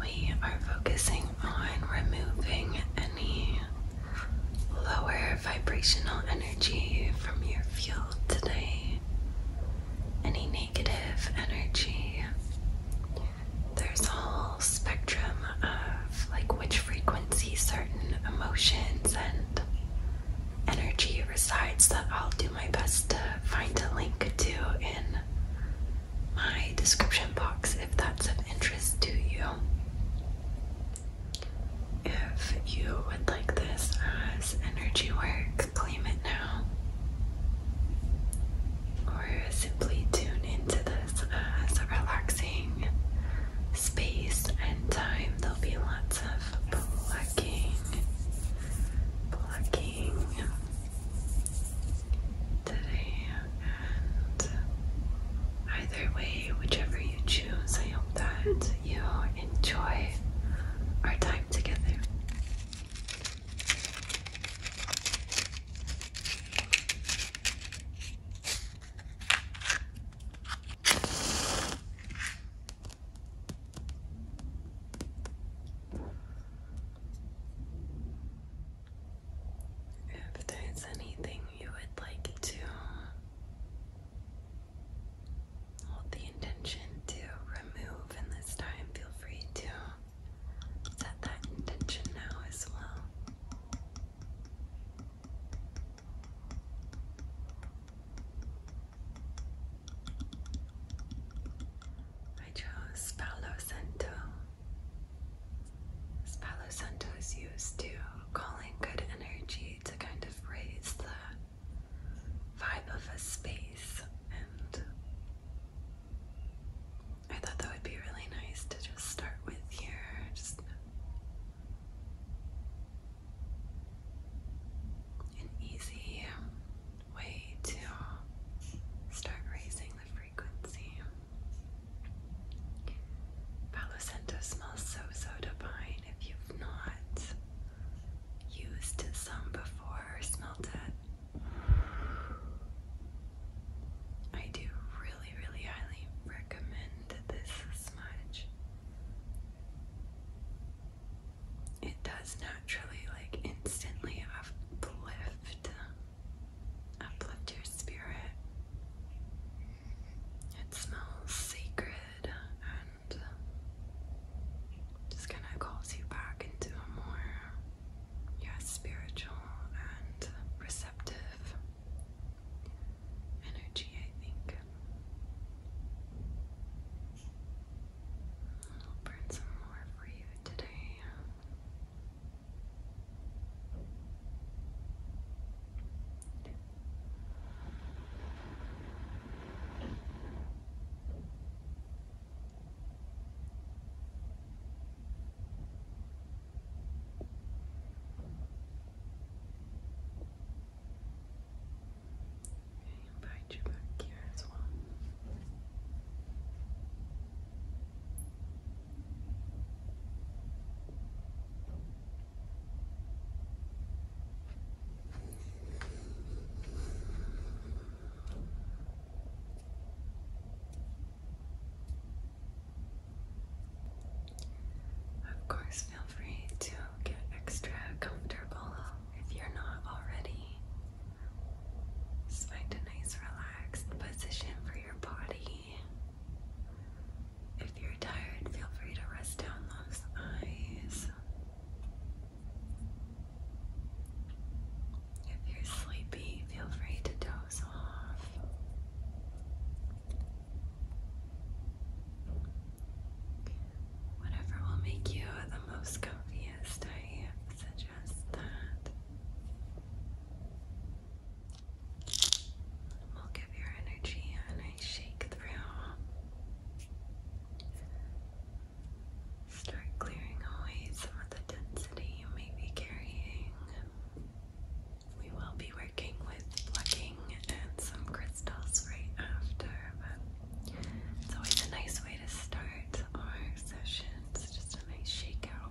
We are focusing on removing any lower vibrational energy from your field today, any negative energy. There's a whole spectrum of like which frequency certain emotions and energy resides that I'll do my best to find a link to in my description box if that's of interest to you. If you would like this as energy work, claim it now. Or simply tune into this as a relaxing space and time. There'll be lots of plucking, plucking, today, either way, whichever you choose, I hope that you enjoy our time together. If there's anything you would like to hold the intention to remove in this time, feel free to set that intention now as well. I chose Palo Santo. Palo Santo is used to calling good energy to kind of raise the vibe of a space, and I thought that would be really nice to just start with here. Just an easy way to uh, start raising the frequency. Palo Santo smells so soda pine. If you've not used some before or smelled it, I do really, really highly recommend this smudge it does naturally, like instantly uplift, uplift your spirit. It smells sacred and just kind of calls you back into a more, yeah, spiritual and receptive energy, I think. I'll burn some more for you today. Okay, invite you back here as well. Of course, feel free to get extra comfortable if you're not already. find a nice relaxed position for your body. If you're tired, feel free to rest down those eyes. If you're sleepy, feel free to doze off. Whatever will make you the most comfiest, I suggest that. will give your energy a nice shake through. Start clearing away some of the density you may be carrying. We will be working with plucking and some crystals crystals right after, but it's always a nice way to start our sessions. Just a nice shake out.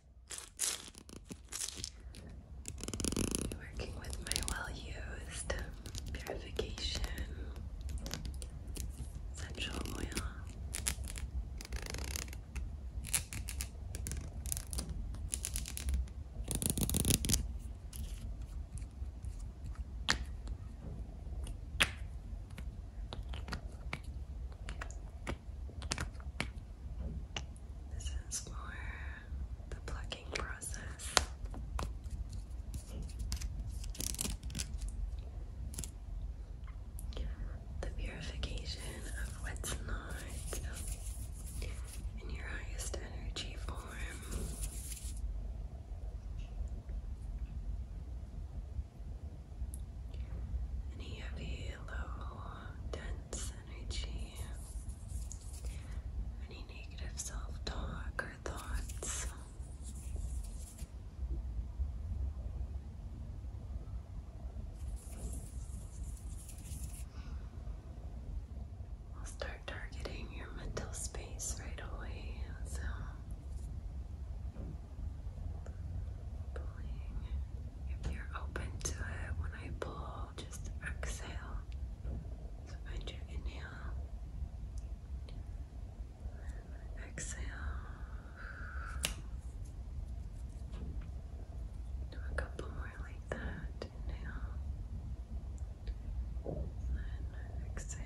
Working with my well used purification essential oil. This is more the plucking process. The purification of what's not in your highest energy form any heavy, low, dense energy, any negative self talk or thoughts. We'll start targeting your mental space right away. So if you're open to it, when I pull, just exhale. So find your inhale. exhale. Do a couple more like that. Inhale. And exhale.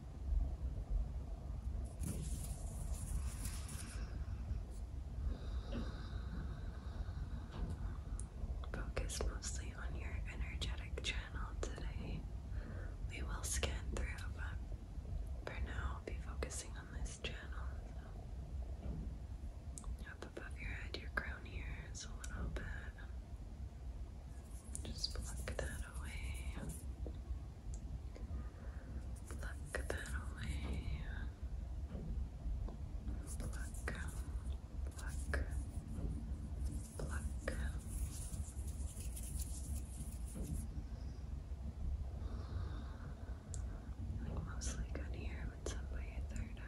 Focus mostly on your energetic channel today. We will scan through, but for now, I'll be focusing on this channel. Up above your head, your crown here is a little bit. Just pluck that away. Pluck that away. Pluck, pluck, pluck. Like mostly good here, but some by your third eye.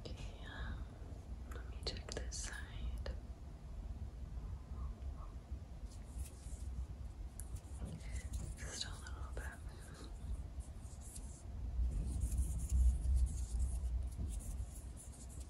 Okay, uh, let me check this side. Just a little bit.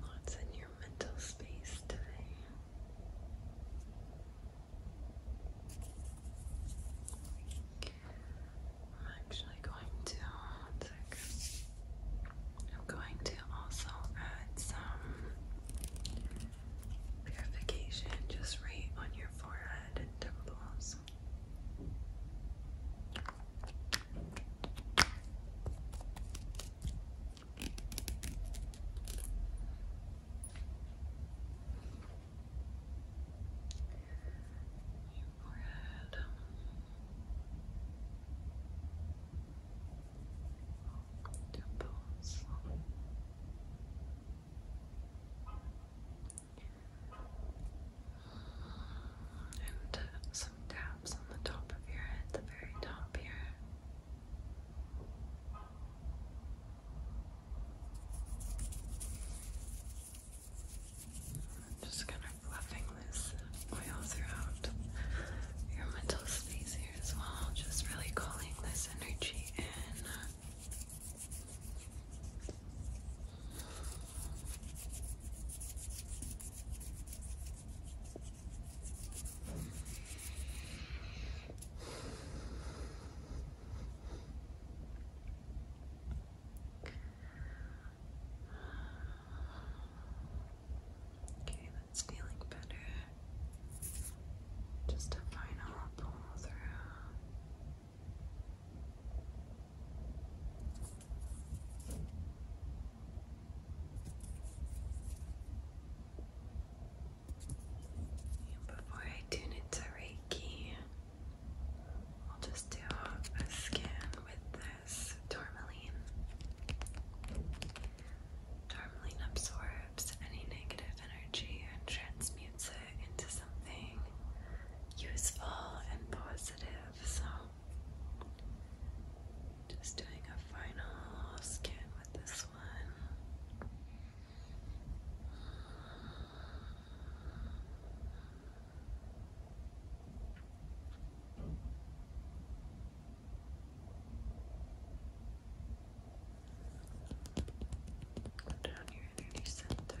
What's in your mental space today? I'm actually going to I'm going to also add some purification just right on your forehead and temples your forehead. Temples. And some taps on the top of your head, the very top here. I'm just kind of fluffing this oil throughout your mental space here as well, just really calling this energy in. Okay, that's feeling better. Just a final pull through. before I tune into Reiki, I'll just do a skin with this tourmaline. Tourmaline absorbs any negative energy and transmutes it into something useful and positive. So, just doing a final skin with this one. Down your energy center.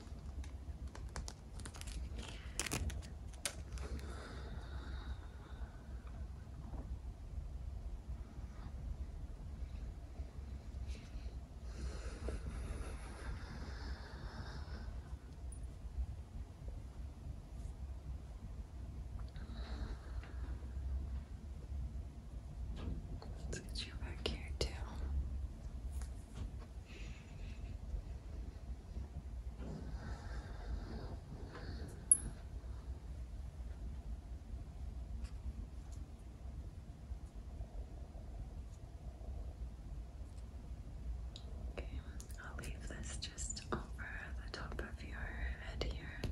let you back here too. Okay, I'll leave this just over the top of your head here.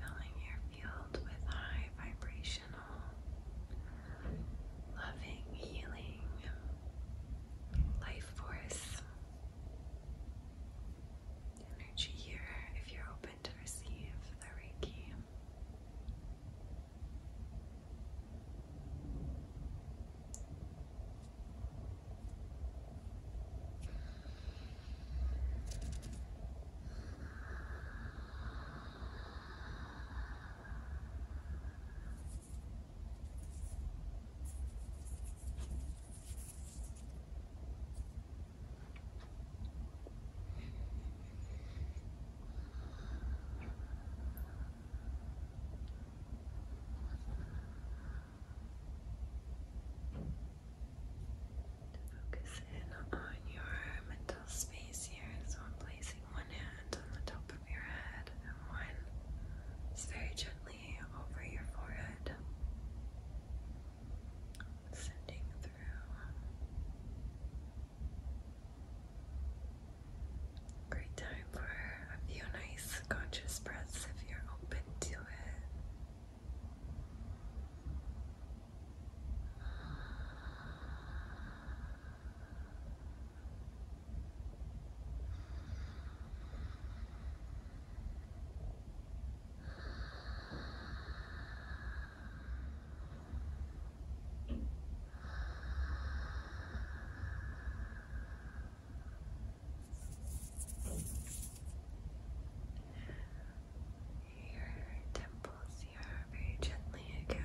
Filling your field with high vibrational, loving, healing life force energy here if you're open to receive the Reiki. Focus in on your mental space here. So I'm placing one hand on the top of your head and one very gently over your forehead sending through great time for a few nice conscious breaths if you're open to it. Your temples here very gently again.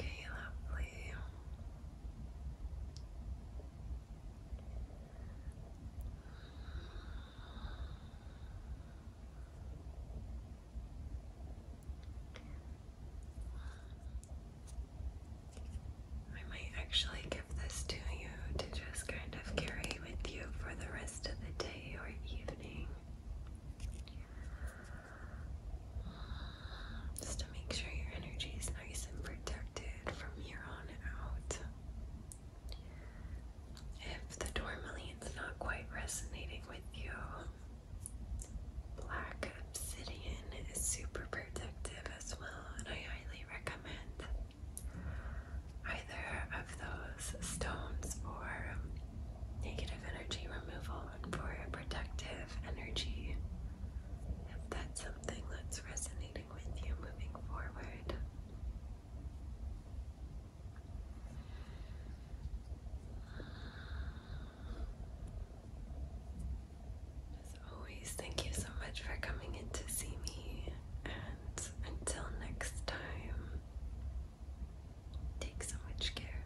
Okay, lovely. I might actually give this to you to just kind of carry with you for the rest of the day or evening just to make sure your energy is nice and protected from here on out. If the tourmaline's not quite resonating with you, black obsidian is super protective as well, and I highly recommend either of those stones for negative energy removal and for protective energy if that's something that's resonating with you moving forward. As always, thank you so much for coming in to see me, and until next time, take so much care.